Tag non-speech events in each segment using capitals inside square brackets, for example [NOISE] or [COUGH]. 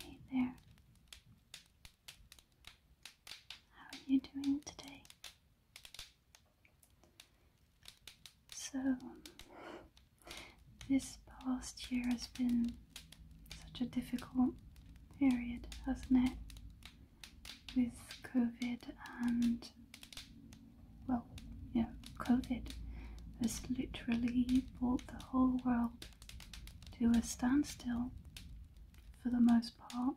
Hey there. How are you doing today? So, [LAUGHS] this past year has been such a difficult period, hasn't it? With COVID and, well, yeah, COVID has literally brought the whole world to a standstill for the most part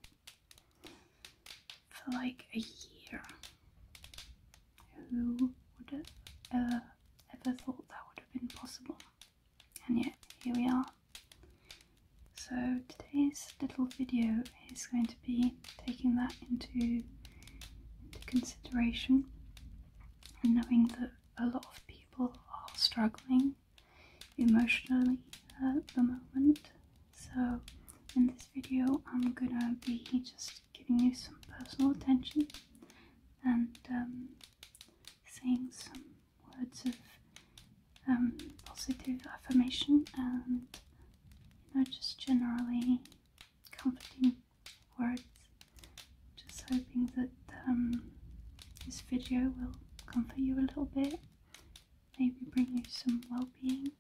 for like a year. Who would have uh, ever thought that would have been possible? And yeah, here we are. So today's little video is going to be taking that into, consideration and knowing that a lot of people are struggling emotionally at the moment. So in this video I'm gonna be just giving you some personal attention and um, saying some words of um, positive affirmation and you know just generally comforting words. Just hoping that um, this video will comfort you a little bit, maybe bring you some well-being.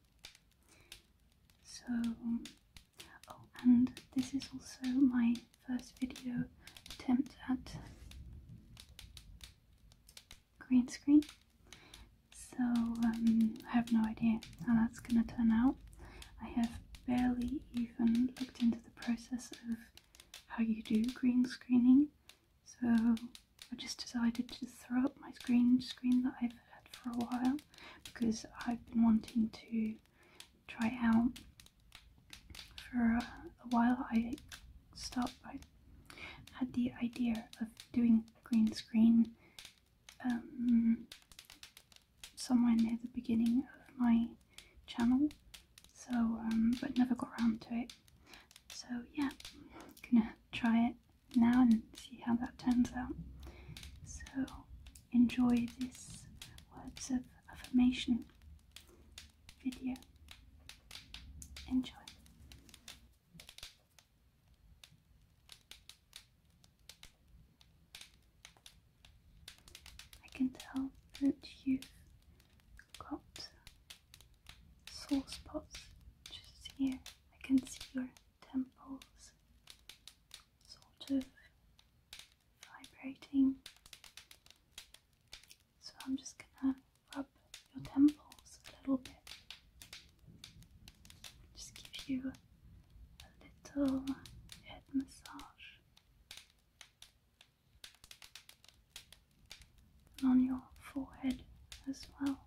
So, oh, and this is also my first video attempt at green screen. So um, I have no idea how that's going to turn out. I have barely even looked into the process of how you do green screening. So I just decided to throw up my screen screen that I've had for a while because I've been wanting to try out for a while, I stopped. I had the idea of doing green screen um, somewhere near the beginning of my channel, so um, but never got around to it. So yeah, gonna try it now and see how that turns out. So enjoy this words of affirmation video. Enjoy. I can tell that you got spots just here. I can see your temples sort of vibrating so I'm just gonna rub your temples a little bit. Just give you a little head massage. And on your forehead as well.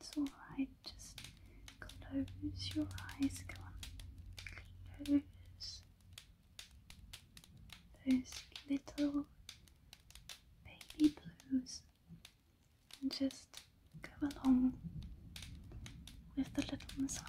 It's alright, just close your eyes. Come on, close those little baby blues and just go along with the little massage.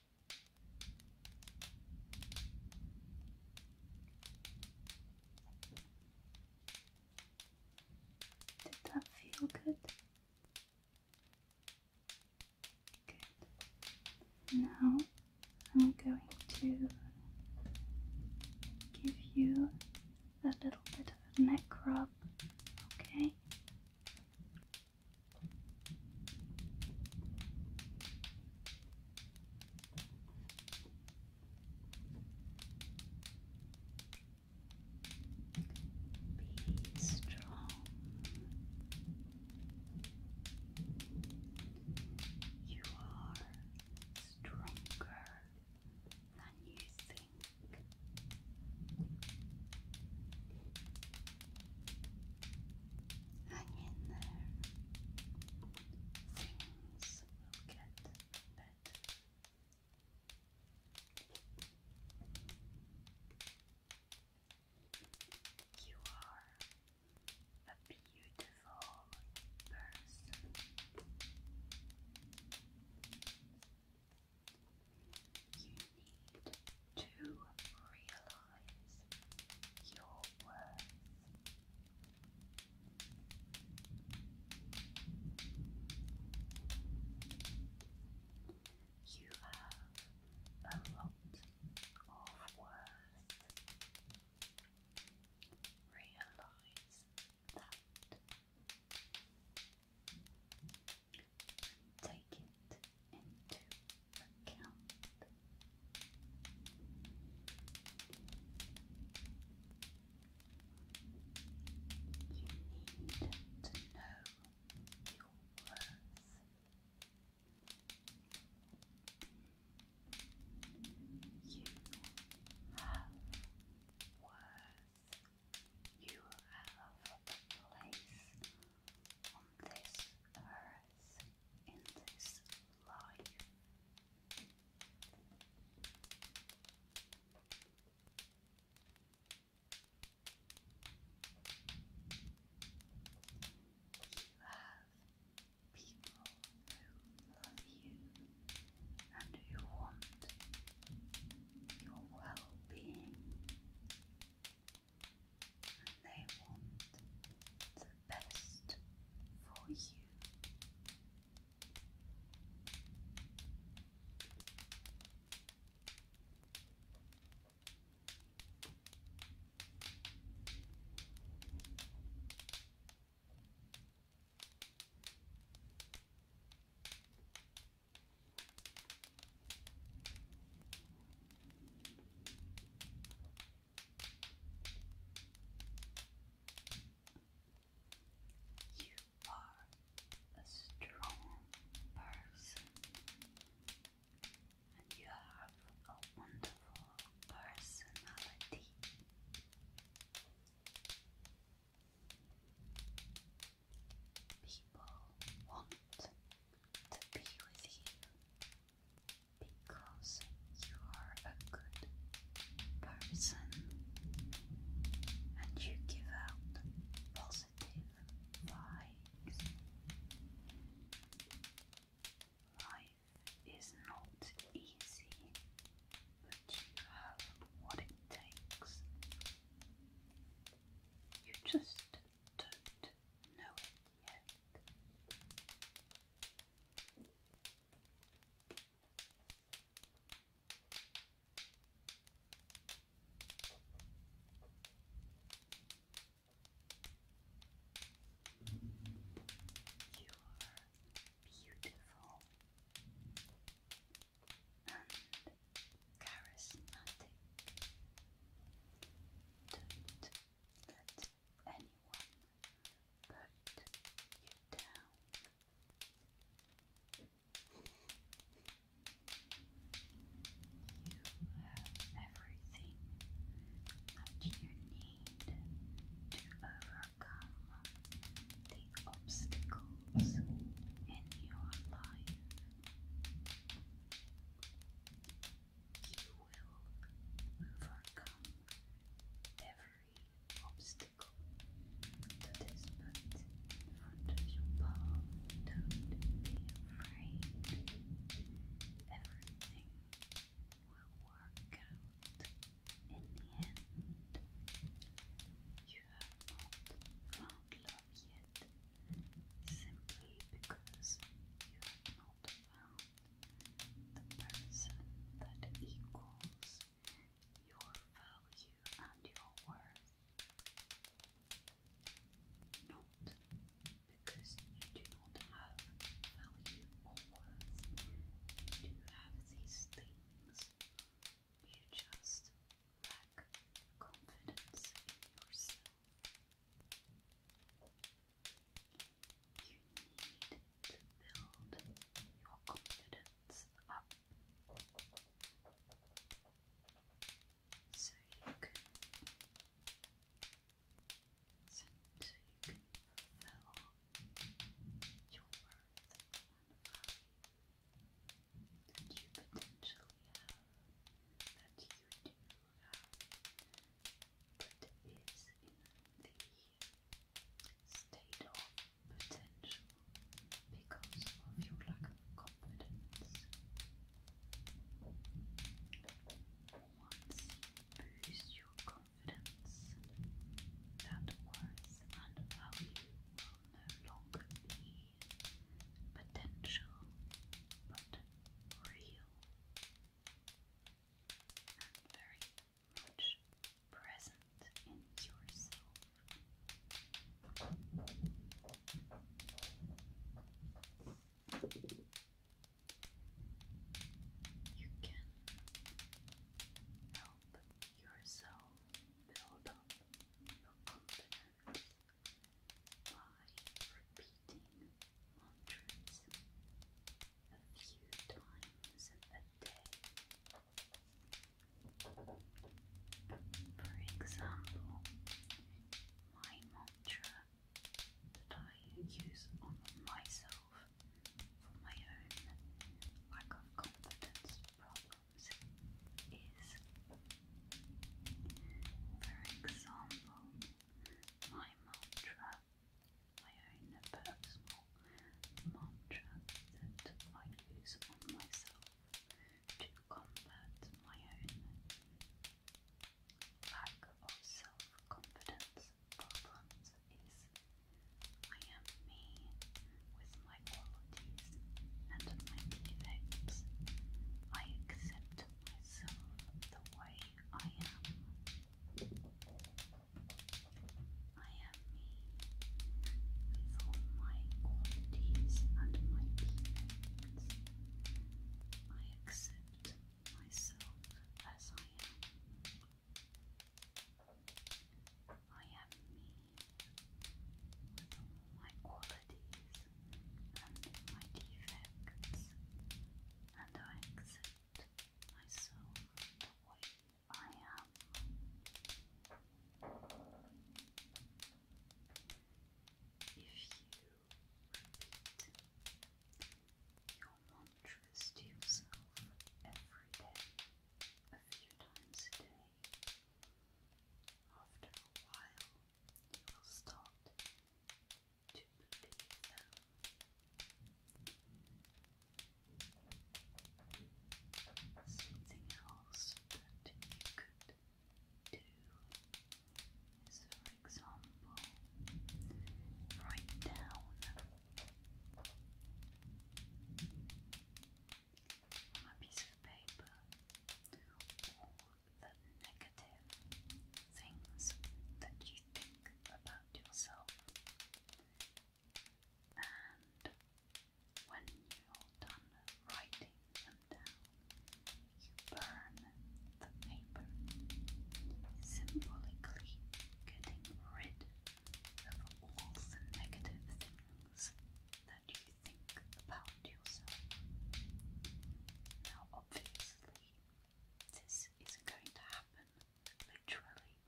Did that feel good? Good. Now I'm going to give you a little bit of neck rub, okay? Be strong. You are stronger than you think. Hang in there. Things will get better. You are a beautiful person you need to realize your worth. You have a lot of worth. Realize that take it into account. You need to know your worth. You have worth. You have a place on this earth in this life. You have people who love you and who want your well being and they want the best for you. You are a strong person and you have a wonderful personality. People want to be with you because you are a good person and you give out positive vibes. Life is not easy, but you have what it takes. You just don't know yet. You are beautiful and charismatic. Don't let anyone put you down. You have everything that you need to overcome the obstacles in your life. You will overcome every obstacle that is put in your path. Don't be afraid. Everything will work out in the end. You have not found love yet simply because you have not found the person that equals your value and your worth. Not because you do not have value or worth, you do have these things. You just lack confidence in yourself. You need to build your confidence up so you can so you your worth that you potentially have, that you do have, but is in the state of potential because of your lack of confidence. Once boost your confidence, that worth and value will no longer be potential but real and very much present in yourself. You can help yourself build up your confidence by repeating mantras a few times a day. For example, my mantra that I use on myself for my own lack of confidence problem is, for example, my mantra, my own personal mantra that I use on myself to combat my own lack of self-confidence problems is I am me with my my qualities oh, and my defects. I accept myself the way I am. I am me with all my qualities and my defects. I accept myself as I am. I am me with all my qualities and my defects, and I accept myself the way I am. If you repeat your mantras to yourself every day, a few times a day, after a while, you will start to believe Something else that you could do for example, write down from a piece of paper all the negative things that you think about yourself. And when you're done writing them down, you burn the paper, symbolically getting rid of all the negative things that you you think about yourself. Now, obviously, this isn't going to happen literally,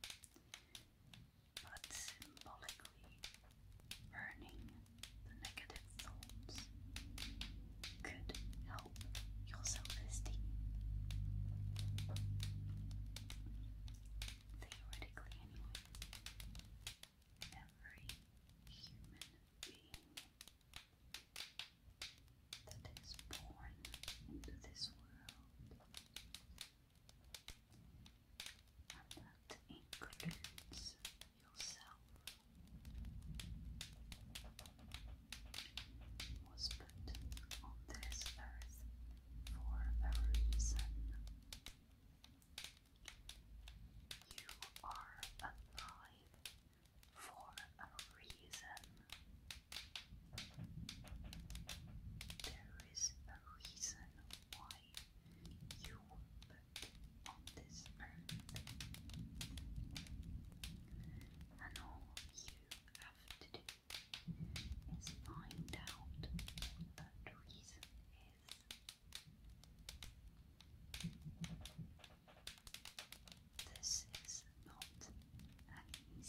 but symbolically, burning the negative thoughts could help your esteem. Theoretically, anyway every human being that is born into this world. that includes yourself. Was put on this earth for a reason. You are alive for a reason. There is a reason why you were on this earth. And all you have to do is find out what that reason is. This is not an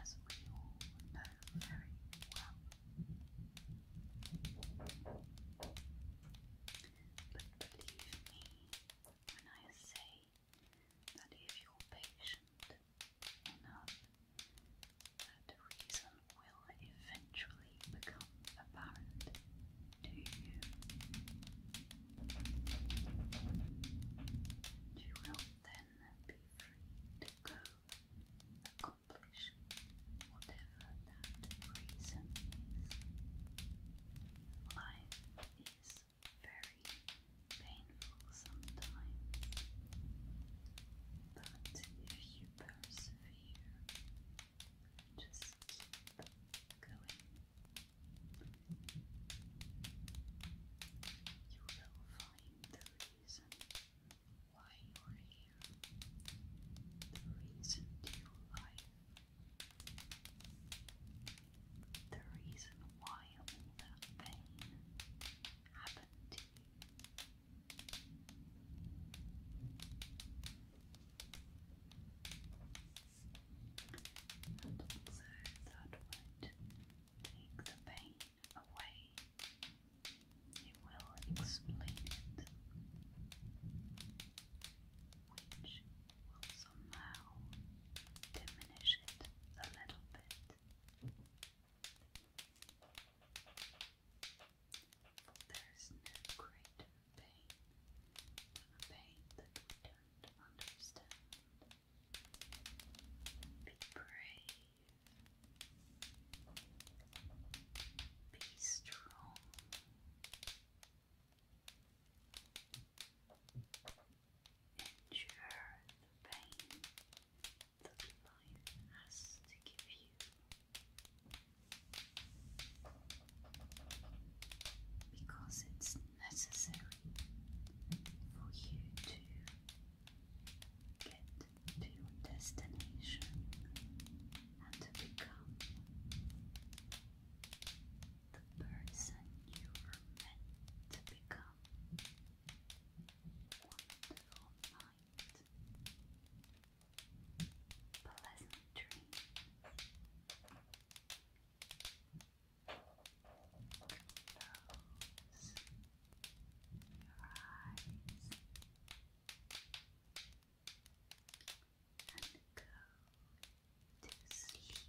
as we all know very well. But believe me when I say that if you're patient enough that reason will eventually become apparent to you. You will then be free to go accomplish whatever that reason is. Life is very painful sometimes, but if you persevere just keep going, you will find the reason why you're here, the reason to your The reason why all that pain happened to you. And also that would take the pain away. It will explain it, which will somehow diminish it a little bit. There's no greater pain than a pain that we don't understand. Be brave. Be strong. Endure the pain that life has to give you. Because it's necessary for you to get to your destination and to become the person you were meant to become wonderful night. Pleasant dreams. Close your eyes and go to sleep.